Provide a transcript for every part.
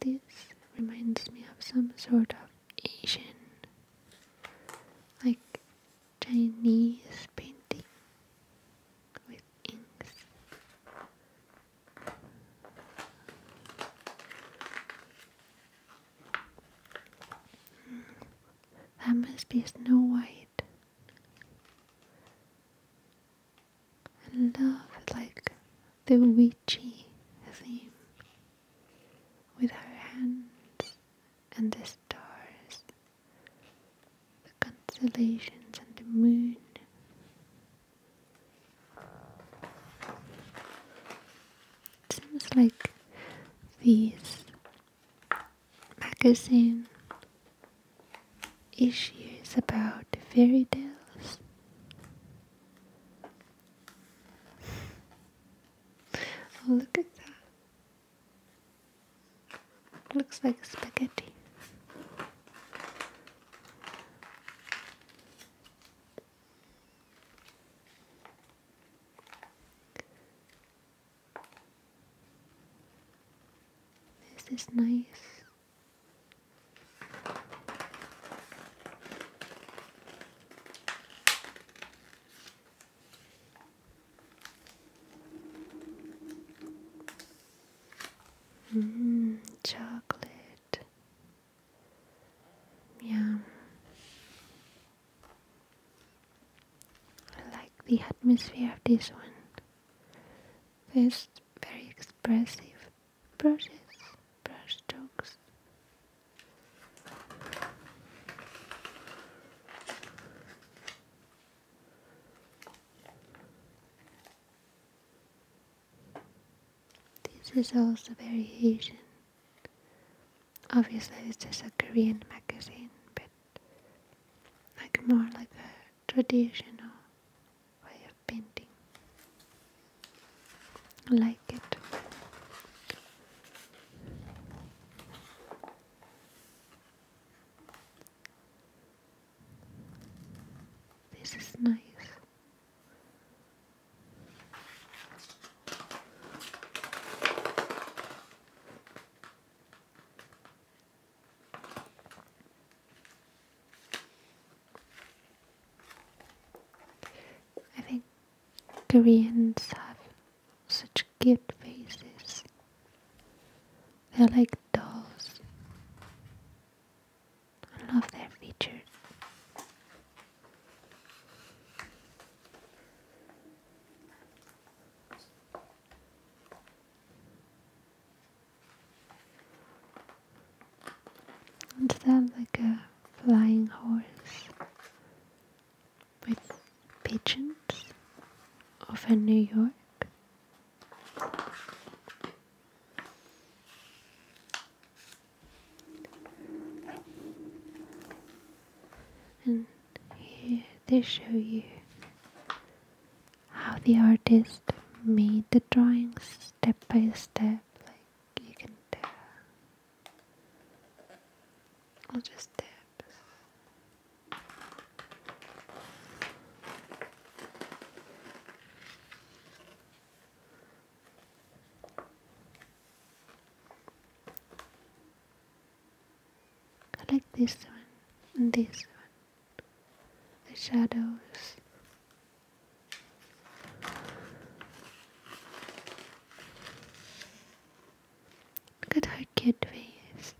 This reminds me of some sort of Asian, like Chinese painting with inks. Hmm. That must be Snow White. I love like the witchy theme with her hands and the stars, the constellations and the moon. It seems like these magazine issues about fairy tales. oh, look at that. Looks like spaghetti. This is nice. Mmm, chocolate. Yeah. I like the atmosphere of this one. It's very expressive brushes, brush strokes. This is also very Asian. Obviously, this is a Korean magazine, but like more like a traditional way of painting. I like it. This is nice. I think Koreans have such cute faces. They're like dolls. I love their features. And then, like a flying horse with pigeons over New York? and here they show you how the artist made the drawings step by step like you can tell I'll just tap I like this one and this one. The shadows. Look at her cute face.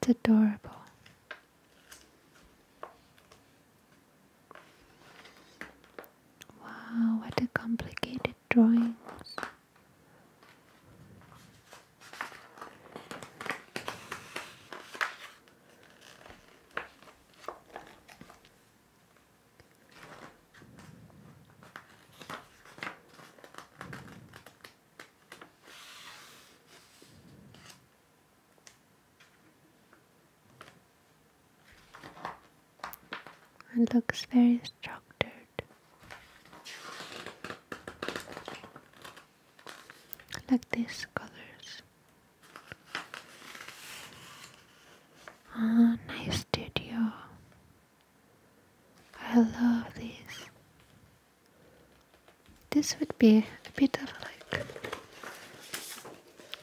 It's adorable. Wow, what a complicated drawing! It looks very structured. Like these colors. Ah, nice studio. I love this. This would be a bit of like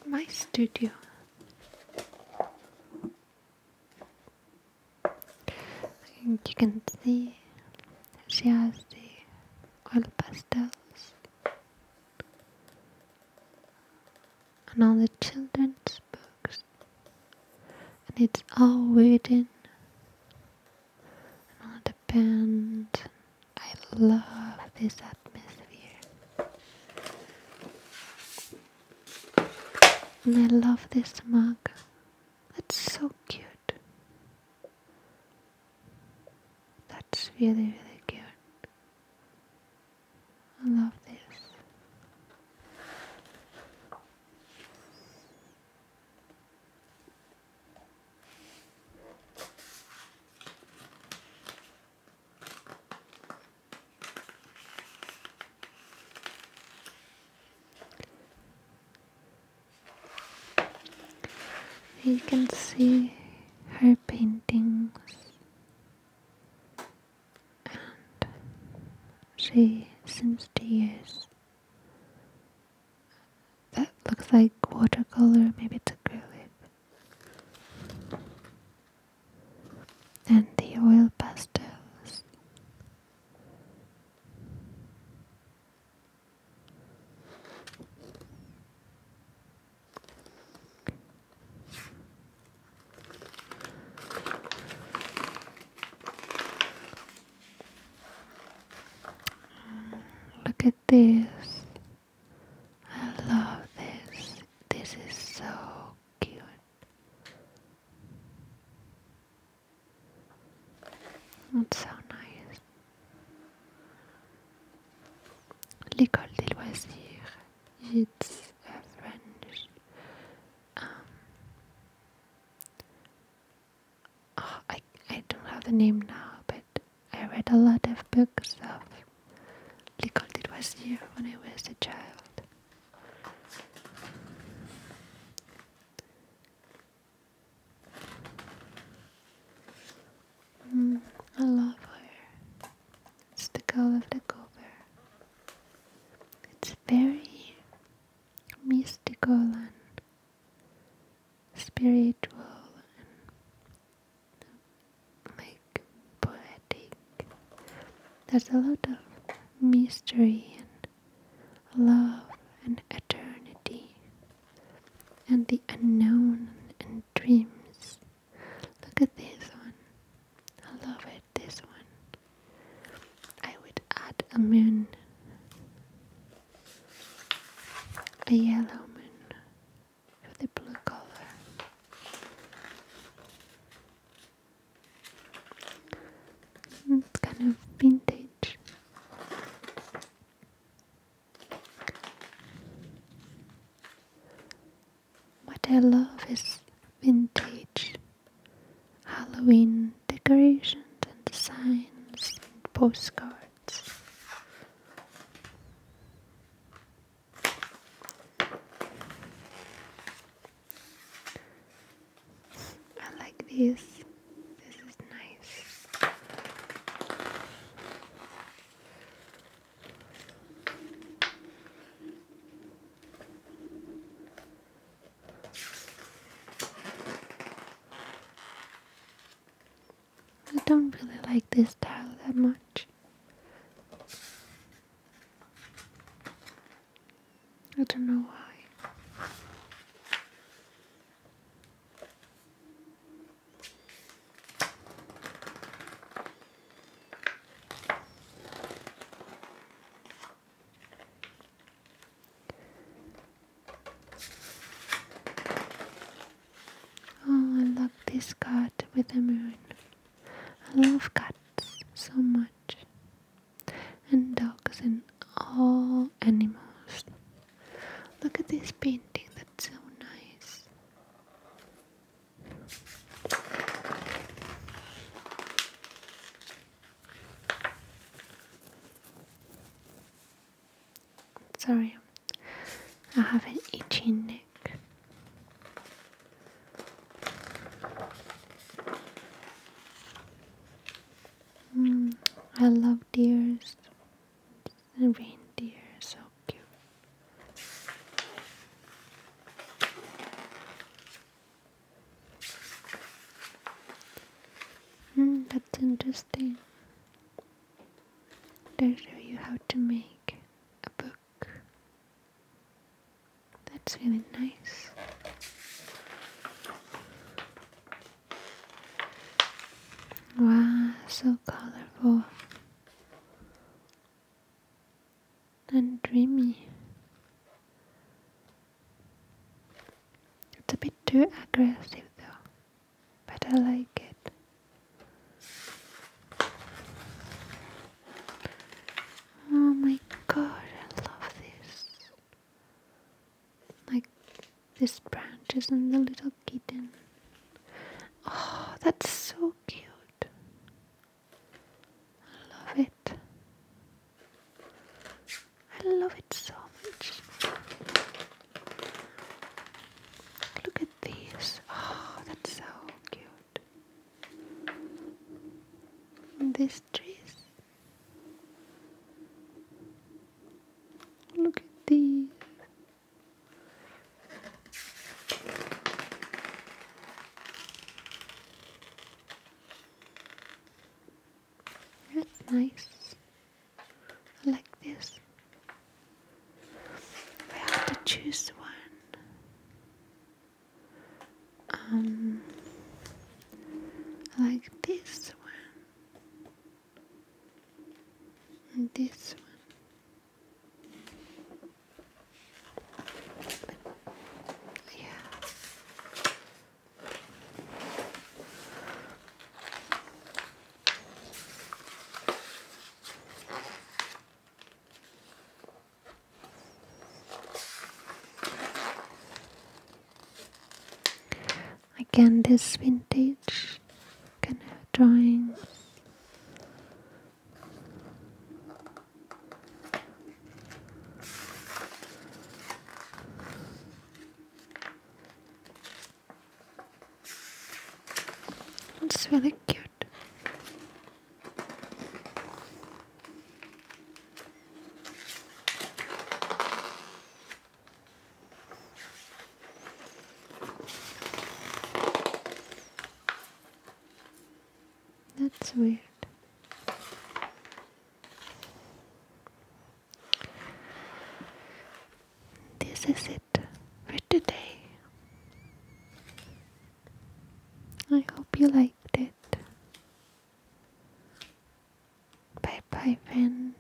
my studio. And you can see she has the oil pastels and all the children's books, and it's all written, and all the pens. I love this atmosphere. And I love this mug. It's so cute. That's really, really cute. I love this. You can see her paintings, and she seems to use that looks like watercolor, maybe it's acrylic. And the oil pastels. Look this. I love this. This is so cute. It's so nice. L'école des loisirs. It's a French um, Oh, I I don't have the name now, but I read a lot of books of was here when I was a child. Mm, I love her. It's the girl of the cover. It's very mystical and spiritual and like poetic. There's a lot of mystery and love and eternity and the unknown and dreams. Look at this one. I love it, this one. I would add a moon a yellow moon with a blue color. It's kind of vintage. What I love is vintage Halloween decorations and designs and postcards. I like this. This is nice. I don't really like this tile that much. I don't know why. Oh, I love this cat with a moon. I love cats so much, and dogs and all animals. Look at this painting, that's so nice. Sorry, I have an itchy neck. Mm, I love deers and reindeer, so cute. Hmm, that's interesting. They'll show you how to make a book. That's really nice. Wow, so colorful and dreamy. It's a bit too aggressive though, but I like it. Oh my god, I love this. Like this branches and the little kitten. Oh, that's so cute. I love it. I love it so much. Look at these. Oh, that's so cute. these trees. Look at these. Right, nice. I like this. We have to choose one. Um, like this one. this one. Again, this vintage kind of drawings it's really cute. That's weird. This is it for today. I hope you liked it. Bye bye, friends.